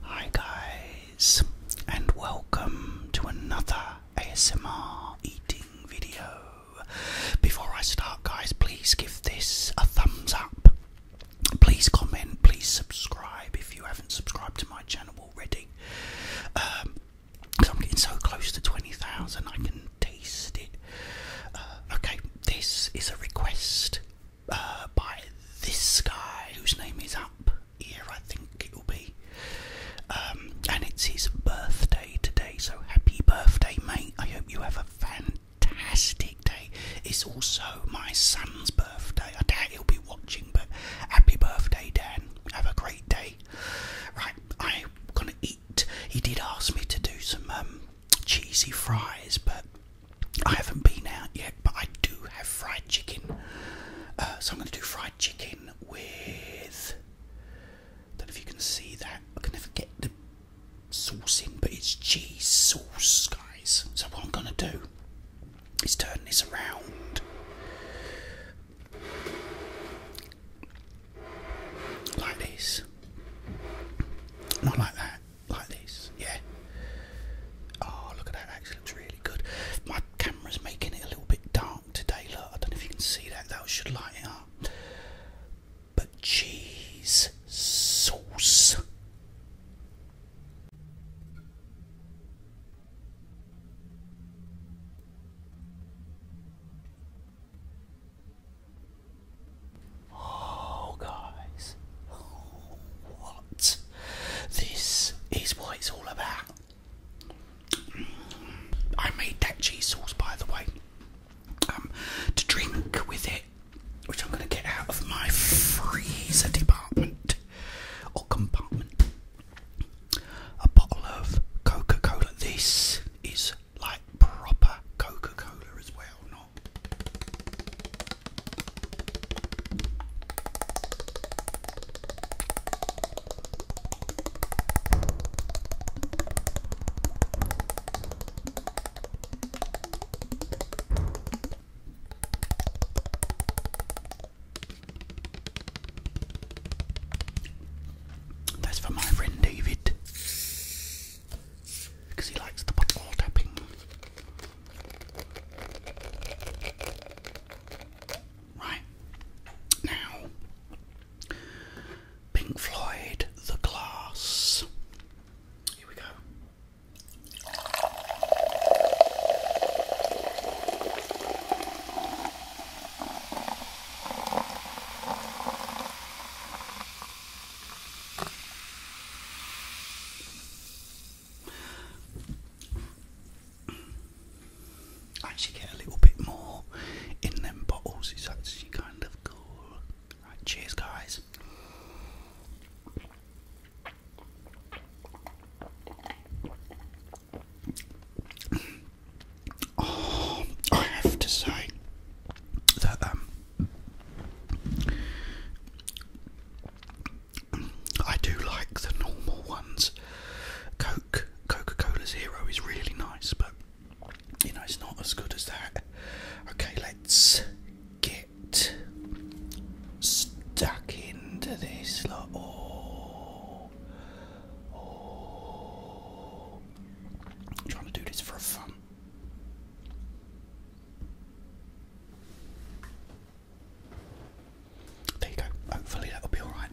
Hi, guys, and welcome to another ASMR eating video. Before I start, guys, please give this a thumbs up. Please comment, please subscribe if you haven't subscribed to my channel already. Um, I'm getting so close to 20,000, I can taste it. Uh, okay, this is a request uh, by this guy whose name is Up Here, I think it will be. Um, and it's his birthday today, so happy birthday, mate. I hope you have a fantastic day. It's also my son's birthday. I doubt he'll be watching, but happy birthday, Dan. Have a great day. Right, I'm gonna eat. He did ask me to do some um, cheesy fries, but I haven't been out yet, but I do have fried chicken. Uh, so I'm going to do fried chicken with don't know if you can see that. I can never get the sauce in, but it's cheese sauce, guys. So what I'm gonna do is turn this around. Like this. Not like that. Like this. Yeah. Oh, look at that. Actually, looks really good. My camera's making it a little bit dark today. Look, I don't know if you can see that. That should light it up. But cheese sauce. Oh, guys, what? This is what it's all about. I made that cheese sauce, by the way, um, to drink with it, which I'm going to get out of my freezer department or compartment. A bottle of Coca Cola. This is like proper Coca Cola as well, not. That's for my friend David because he likes the ball tapping right? Now, Pink Floyd, The Glass. Here we go. Actually, get a little bit more in them bottles. It's actually kind of cool. Right, cheers, guys. Oh, I have to say that um, I do like the normal ones. Coke Coca Cola's Hero is really nice, but you know, it's not as good as that. Okay, let's get stuck into this. Oh, oh. trying to do this for fun. There you go. Hopefully that'll be alright.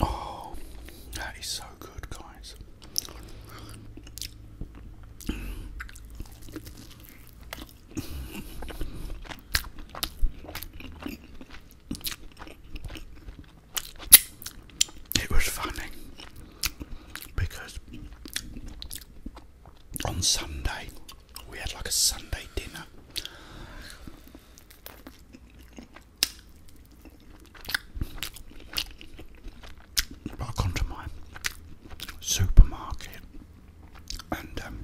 Oh, that is so good, guys. It was funny because on Sunday we had like a Sunday dinner. I gone to my supermarket and um,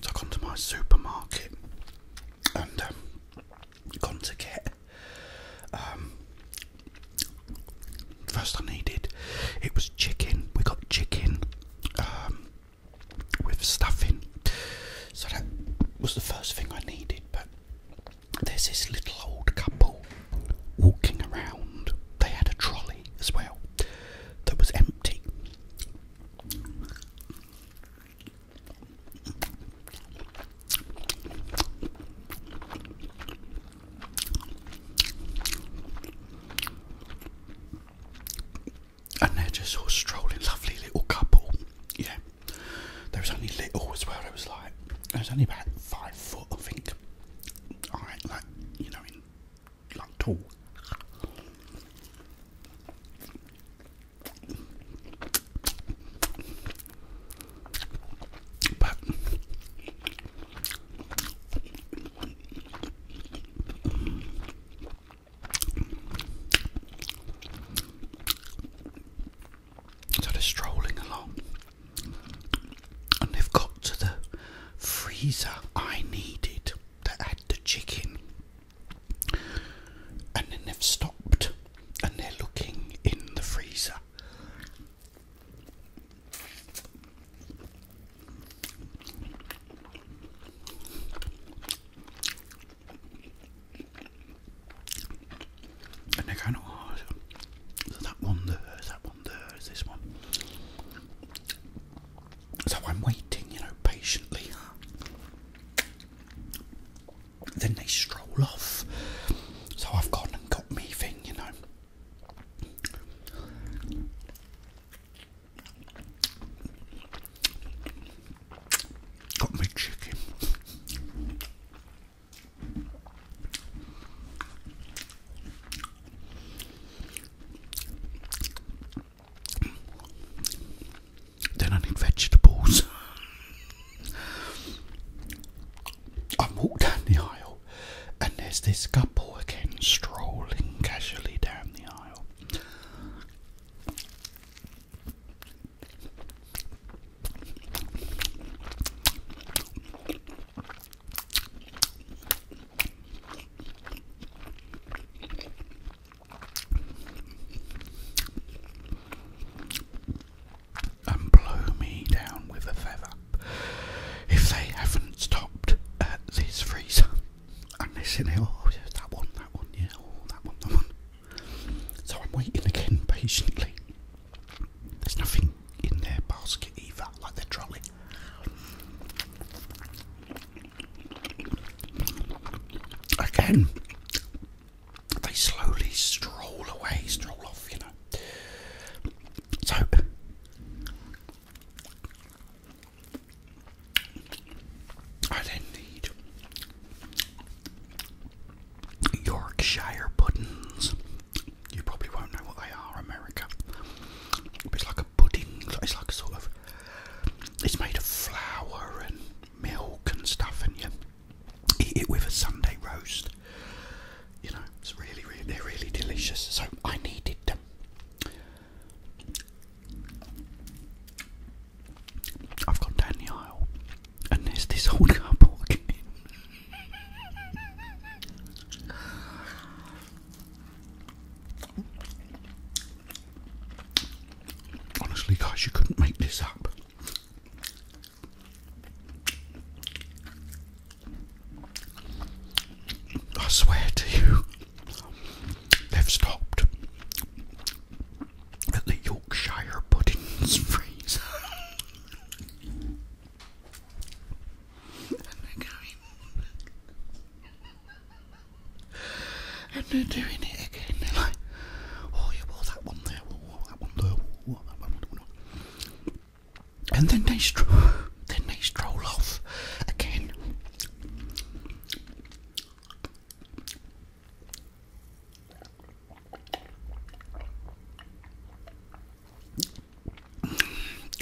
so I've to my supermarket and um, gone to get. Um, first, I needed it was chicken. We got chicken um, with stuffing, so that was the first thing I needed. But there's this little old couple walking around. They had a trolley as well that was empty. And they're just a strolling, lovely little couple. Yeah, there was only little as well. There was like, there was only about five foot, I think. All right, like you know, like tall. But so strolling along, and they've got to the freezer I needed to add the chicken and then they've stopped and they're looking in the freezer. And they're going, oh, is that one there, is that one there, is this one? So I'm waiting, you know, patiently. Then they stroll off. So I've gone and got me thing, you know. Got me chicken. Then I need vegetables. I walk down the aisle and there's this couple again strolling casually down the aisle and blow me down with a feather if they haven't stopped at this freezer. And listen, oh, that one, that one, yeah, oh, that one, that one. So I'm waiting again patiently. There's nothing in their basket either, like their trolley. Again, they slowly stroll away, stroll off, you know. So, I then need Yorkshire puddings. You probably won't know what they are, America. it's like a pudding. It's like a sort of. It's made of flour and milk and stuff, and you eat it with a Sunday roast. You know, it's really, really, they're really delicious. So I needed them. I've gone down the aisle, and there's this old couple Honestly, guys, you couldn't make this up. I swear to you, they've stopped at the Yorkshire puddings freezer and they're doing it again. They're like, oh yeah, well that one there, oh, that one there, oh, that one, and then they stro then they stroll off again.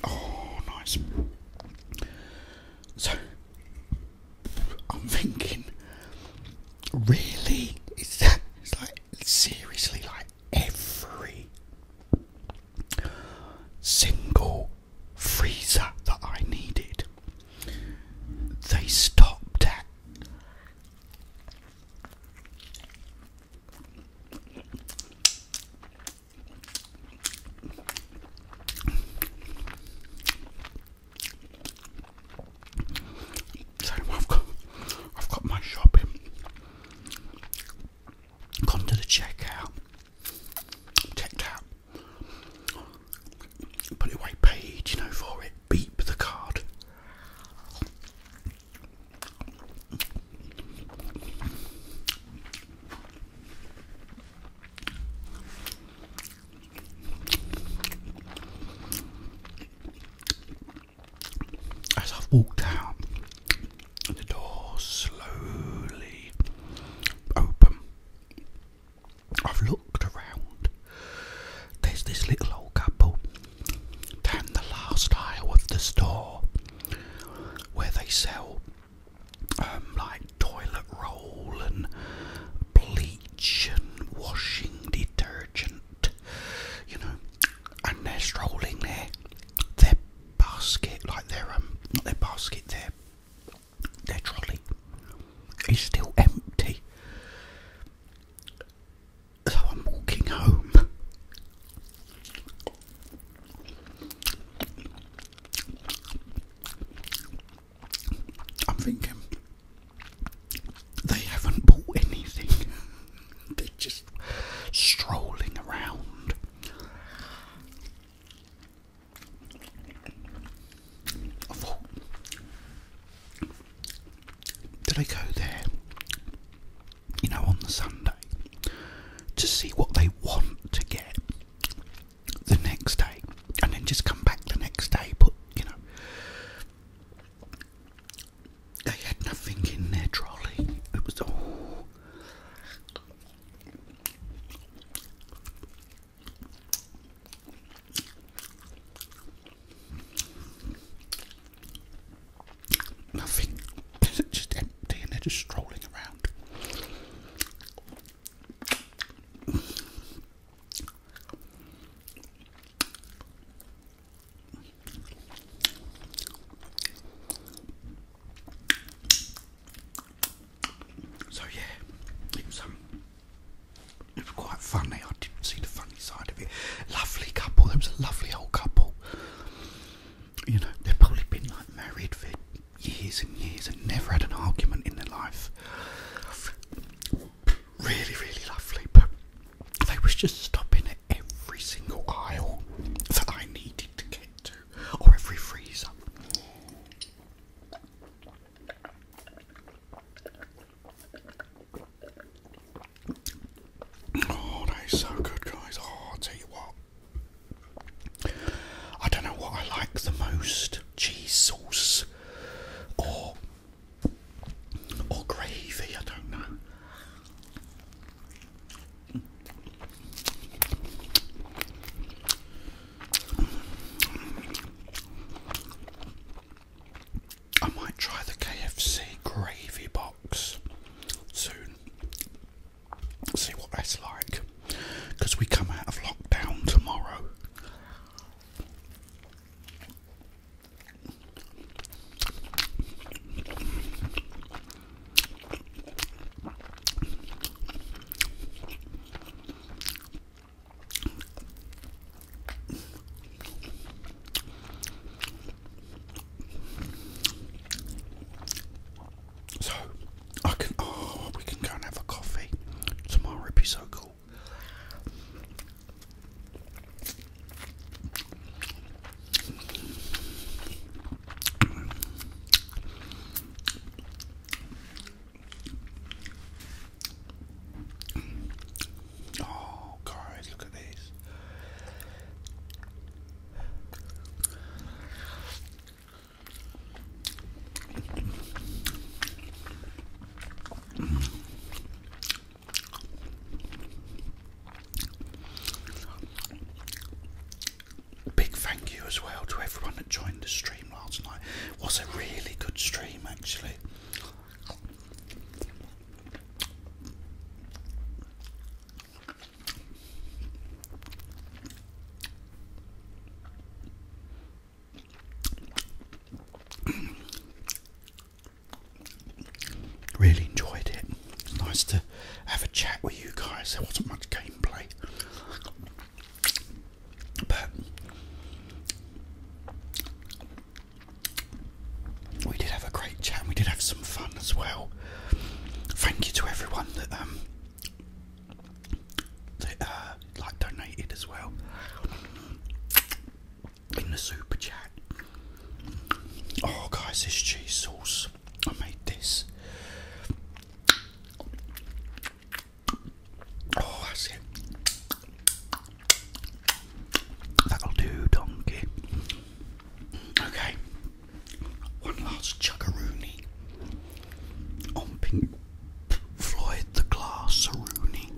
Oh, nice. So, I'm thinking, really? It's like seriously, like every single freezer that I needed, they stopped at. So I've got, I've got my shopping. Gone to the checkout. Checked out. Put it away, paid, you know, for it. Beep the card. As I've walked out, the door slowly open. I've looked around. There's this little old couple down the last aisle of the store where they sell um, like toilet roll and bleach and washing detergent, you know, and they're strolling their their basket, like their um, not their basket, their their trolley is still empty. So I'm walking home. I'm thinking they haven't bought anything, they're just strolling around. I did I go there, you know, on the Sunday to see what they want to get? the next day and then just come back the next day. But you know, they had nothing in their trolley. It was all. Nothing. just empty and they're just strolling around. So yeah, um, it was quite funny. I didn't see the funny side of it. Lovely couple. There was a lovely old couple. You know, they've probably been like married for years and years and never had an argument in their life. Really, really lovely, but they was just stopping at every single aisle that I needed to get to, or every freezer. Oh, that is so good, guys. Oh, i tell you what, I don't know what I like the most cheese sauce or or gravy, I don't know. I might try the KFC gravy box soon see what that's like because we come out of lockdown tomorrow. So I can oh we can go and have a coffee. Tomorrow it'd be so cool. Oh, guys, look at this. Big thank you as well to everyone that joined the stream last night. It was a really good stream actually. Really enjoyed it. Nice to have a chat with you guys. There wasn't much gameplay, but we did have a great chat. And we did have some fun as well. Thank you to everyone that um, uh, like donated as well in the super chat. Oh, guys, this cheese sauce I made this. Oh, that's it. That'll do, donkey. Okay, one last chuggaroony on Pink Floyd the Glass Rooney.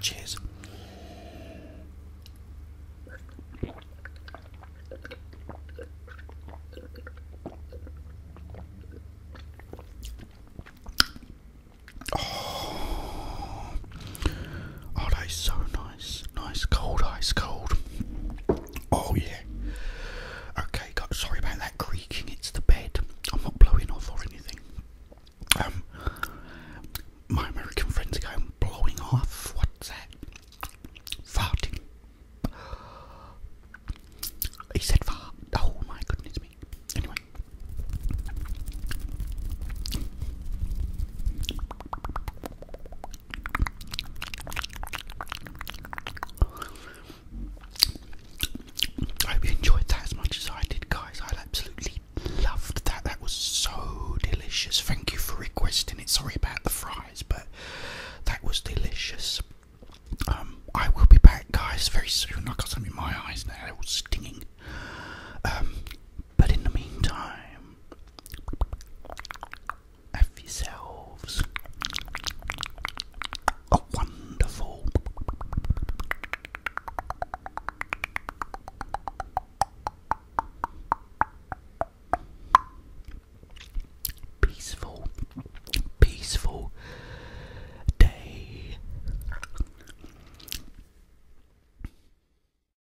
Cheers. Oh, are they so nice, nice, cold, ice cold. Oh yeah. Okay, God, sorry about that creaking. It's the bed. I'm not blowing off or anything. Um, my American friends are going blowing off. What's that? Farting. He said fart. Oh my goodness me. Anyway. I hope you enjoyed that as much as I did, guys. I absolutely loved that. That was so delicious. Thank you for requesting it. Sorry about the fries, but that was delicious. Um, I will be back, guys, very soon. I got some in my eyes now. They're all stinging. Um, but in the meantime, have yourselves a wonderful peaceful peaceful day